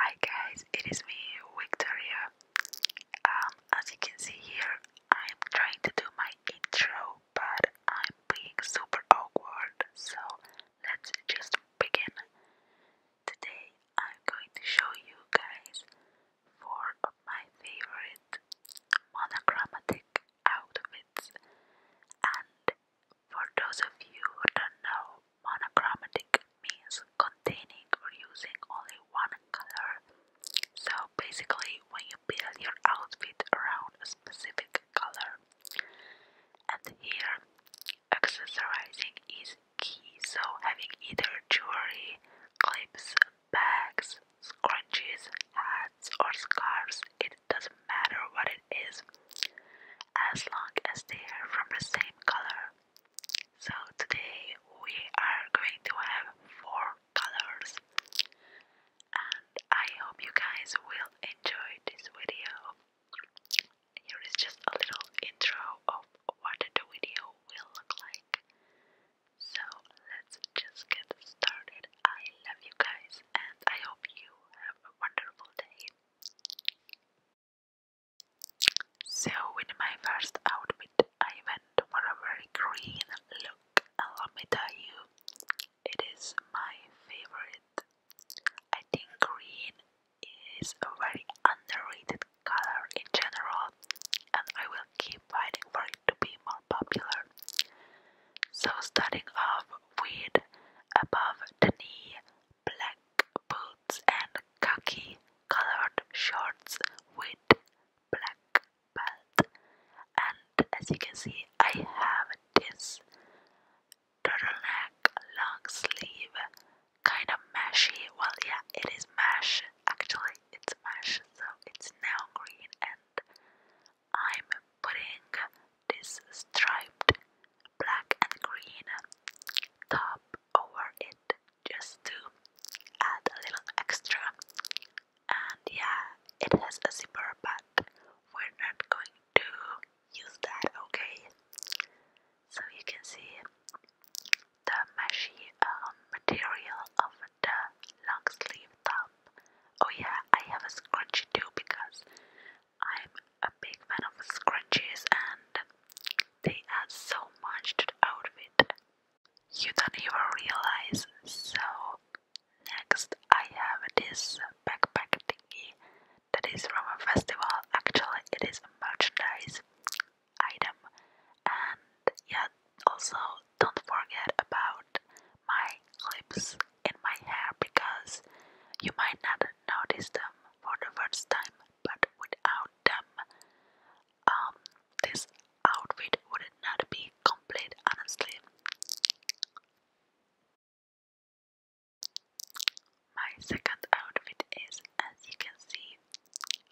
Hi guys, it is me Victoria. Um, as you can see here, I'm trying to do my intro, but I'm being super awkward. So let's just begin. Today, I'm going to show you guys four of my favorite monochromatic outfits, and for those of you who don't know, monochromatic means containing or using only one color. So basically, when you build your outfit around a specific color, and here accessorizing is key. So having either jewelry, clips, bags, scrunchies, hats, or scarves, it doesn't matter what it is as long as they are from the same color. So today we are going to have four colors and I hope you guys will enjoy this video. Here is just a little intro of what the video will look like. So let's just get started. I love you guys and I hope you have a wonderful day. So, with my first outfit, I went for a very green look, and let me tell you, it is my favorite. I think green is a very underrated color in general, and I will keep fighting for it to be more popular. So, starting off weed above the knee, black boots and khaki colored shorts with black belt. And as you can see, I have this turtleneck long sleeve, kind of mashy. Well, yeah, it is mesh. Actually, it's mesh, so it's now green and I'm putting this striped black and green top over it just to add a little extra. And yeah, it has a zipper, but we're not going to use that, okay? So you can see the meshy um, material of the long sleeve top. Oh yeah, I have a scrunchie too because I'm a big fan of scrunchies and they add so much to the outfit. You don't even realize. So next I have this backpack thingy that is from a festival. Actually it is a merchandise item and yeah also don't forget about my lips and my hair because you might not notice them for the first time, but without them, um, this outfit would not be complete, honestly. My second outfit is, as you can see,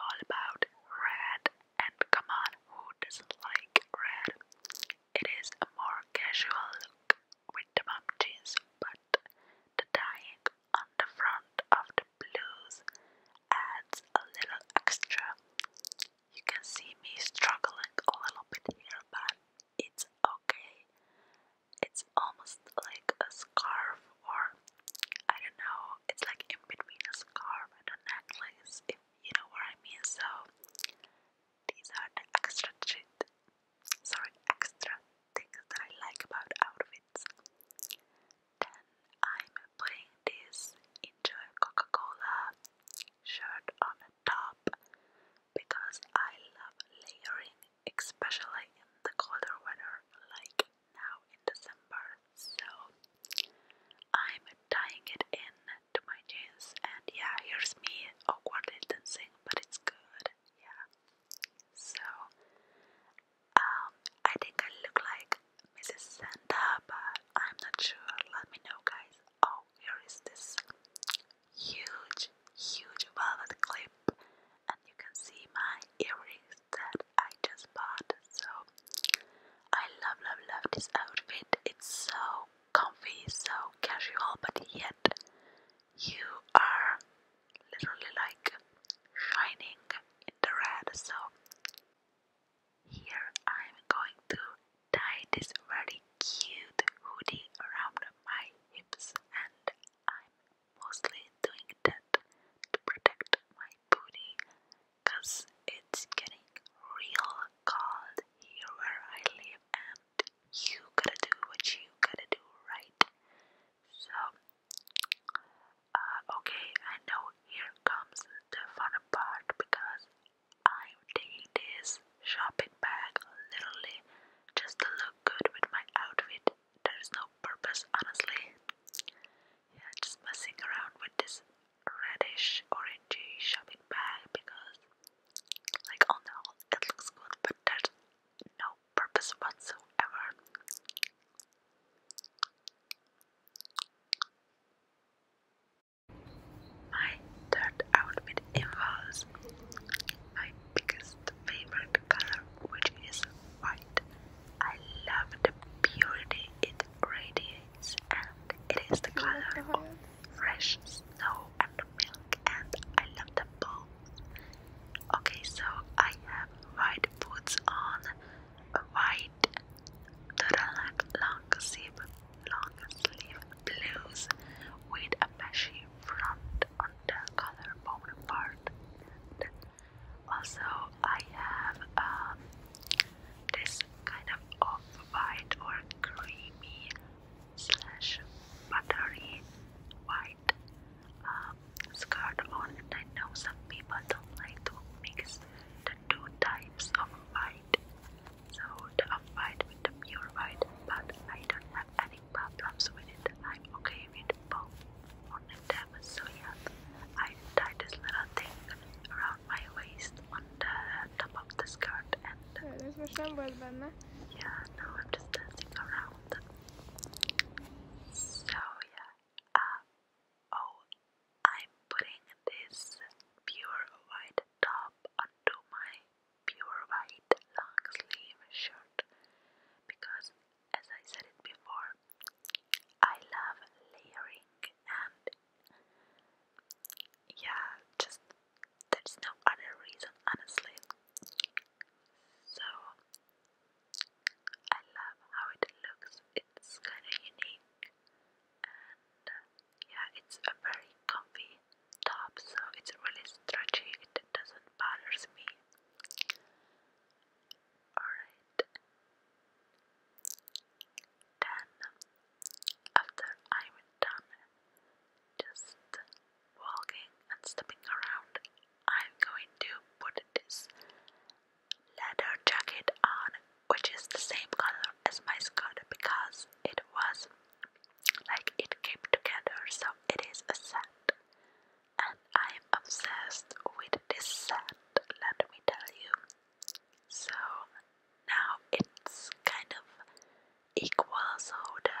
all about red, and come on, who doesn't like red? It is a more casual look with the mom jeans, but the dyeing on the front of the blues adds a little extra. You can see me struggling a little bit here, but it's okay. It's almost like a scarf, or I don't know, it's like in between a scarf and a necklace, you know what I mean? So these are the extra shit, sorry, extra things that I like about outfits. Then I'm putting this into a Coca-Cola shirt on the top because I love layering, especially in the colder weather like now in December. So I'm tying it in to my jeans, and yeah, here's me awkwardly dancing, but it's good, yeah. So, um, I think I look like Mrs. Santa, but I'm not sure. Let me know, guys. Oh, here is this huge, huge velvet clip, and you can see my earrings that I just bought. So, I love, love, love this outfit. It's so comfy, so casual, but yet you are literally like shining in the red. So here I'm going to tie this very cute hoodie around my hips, and I'm mostly doing that to protect my booty cause it's getting real cold here where I live and you gotta do what you gotta do, right? So, uh, okay, I know here comes the fun part because I'm taking this shopping bag literally just to look good with my outfit. There's no purpose, honestly. Yeah, just messing around with this reddish orangey shopping bag because like oh no it looks good but there's no purpose whatsoever my third outfit involves my biggest favorite color which is white I love the purity it radiates, and it is the color of fresh snow and milk, and I love them both. Okay, so I have white boots on, a white turtleneck long sleeve, long sleeve blues with a meshy front on the collarbone part, also, I have um, this kind of off-white or creamy slash buttery white um, skirt on, and I know some people don't like to mix the two types of white, so the off-white with the pure white, but I don't have any problems with it. I'm okay with bow oh, on a so yeah I tied this little thing around my waist on the top of the skirt and yeah now I'm just dancing around so yeah uh, oh I'm putting this pure white top onto my pure white long sleeve shirt because as I said it before, I love layering and yeah, just there's no other reason, honestly. So I love how it looks, it's kind of unique, and yeah, it's a very comfy top, so it's really stretchy, it doesn't bother me. Alright. Then, after I'm done just walking and stepping around, I'm going to put this leather jacket on, which is the same color as my skirt because it was like it came together, so it is a set and I am obsessed with this set, let me tell you. So now it's kind of equal, so the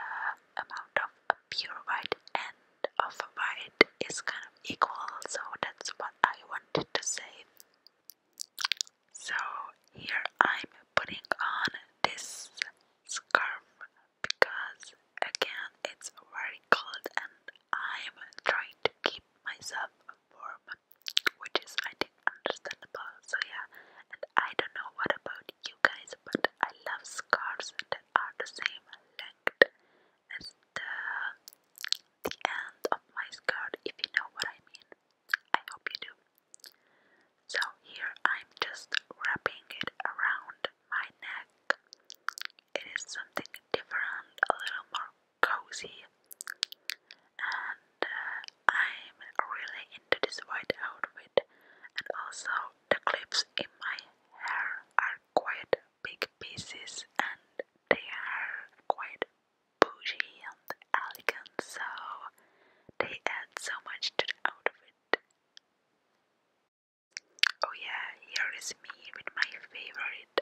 amount of pure white and of white is kind of equal, so that's what I wanted to say. So here I'm putting on this scarf because again it's very cold and I'm trying to keep myself warm, which is I think understandable. So yeah, and I don't know what about you guys, but I love scarves that are the same length as the the end of my skirt, if you know what I mean. I hope you do. So here I'm just wrapping it around my neck. It is something different, a little more cozy, and uh, I'm really into this white outfit. And also, the clips in my hair are quite big pieces, and they are quite bougie and elegant, so they add so much to the outfit. Oh yeah, here is me with my favorite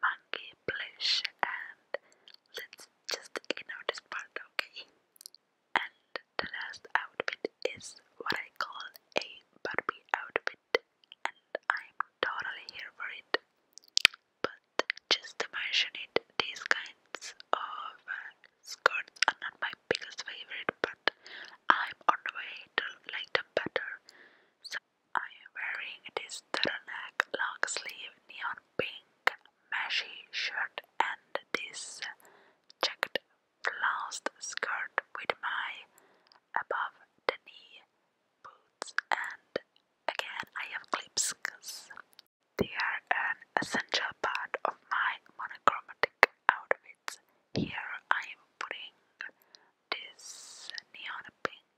monkey plush and let's just ignore this part, okay? And the last outfit is what I call a Barbie outfit and I'm totally here for it. But just to mention it, these kinds of Skirts are not my biggest favorite, but I'm on the way to like them better. So I am wearing this turtleneck, long sleeve, neon pink, meshy shirt, and this checked flounced skirt with my above the knee boots. And again, I have clips because they are an essential part of my monochromatic outfits. Here I am putting this neon pink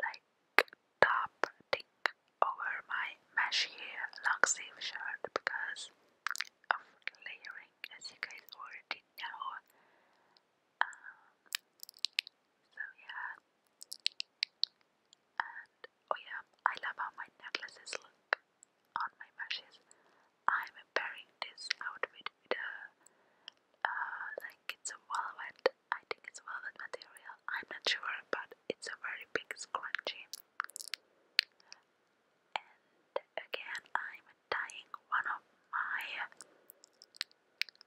like top over my meshy long sleeve shirt because of layering as you guys already know. Um, so yeah, Oh yeah, I love how my necklaces look on my meshes. I'm pairing this outfit with a uh, like it's a velvet. I think it's velvet material. I'm not sure, but it's a very big scrunchie. And again, I'm tying one of my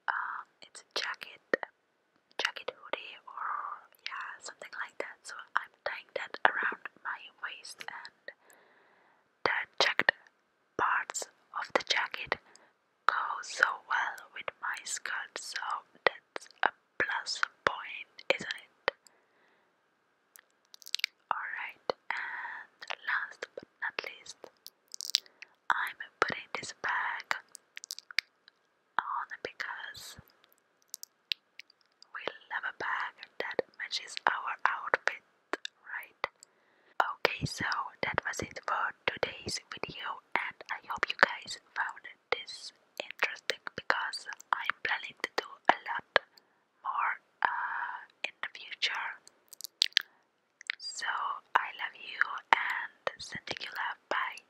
um, it's jacket, jacket hoodie or yeah, something like that. So I'm tying that around my waist and the checked parts of the jacket go so well with my skirt, so that's a plus point, isn't it? Alright, and last but not least, I'm putting this bag because we love a bag that matches our outfit, right? Okay, so that was it for today's video, and I hope you guys found this interesting because I'm planning to do a lot more uh, in the future. So I love you and send you love. Bye.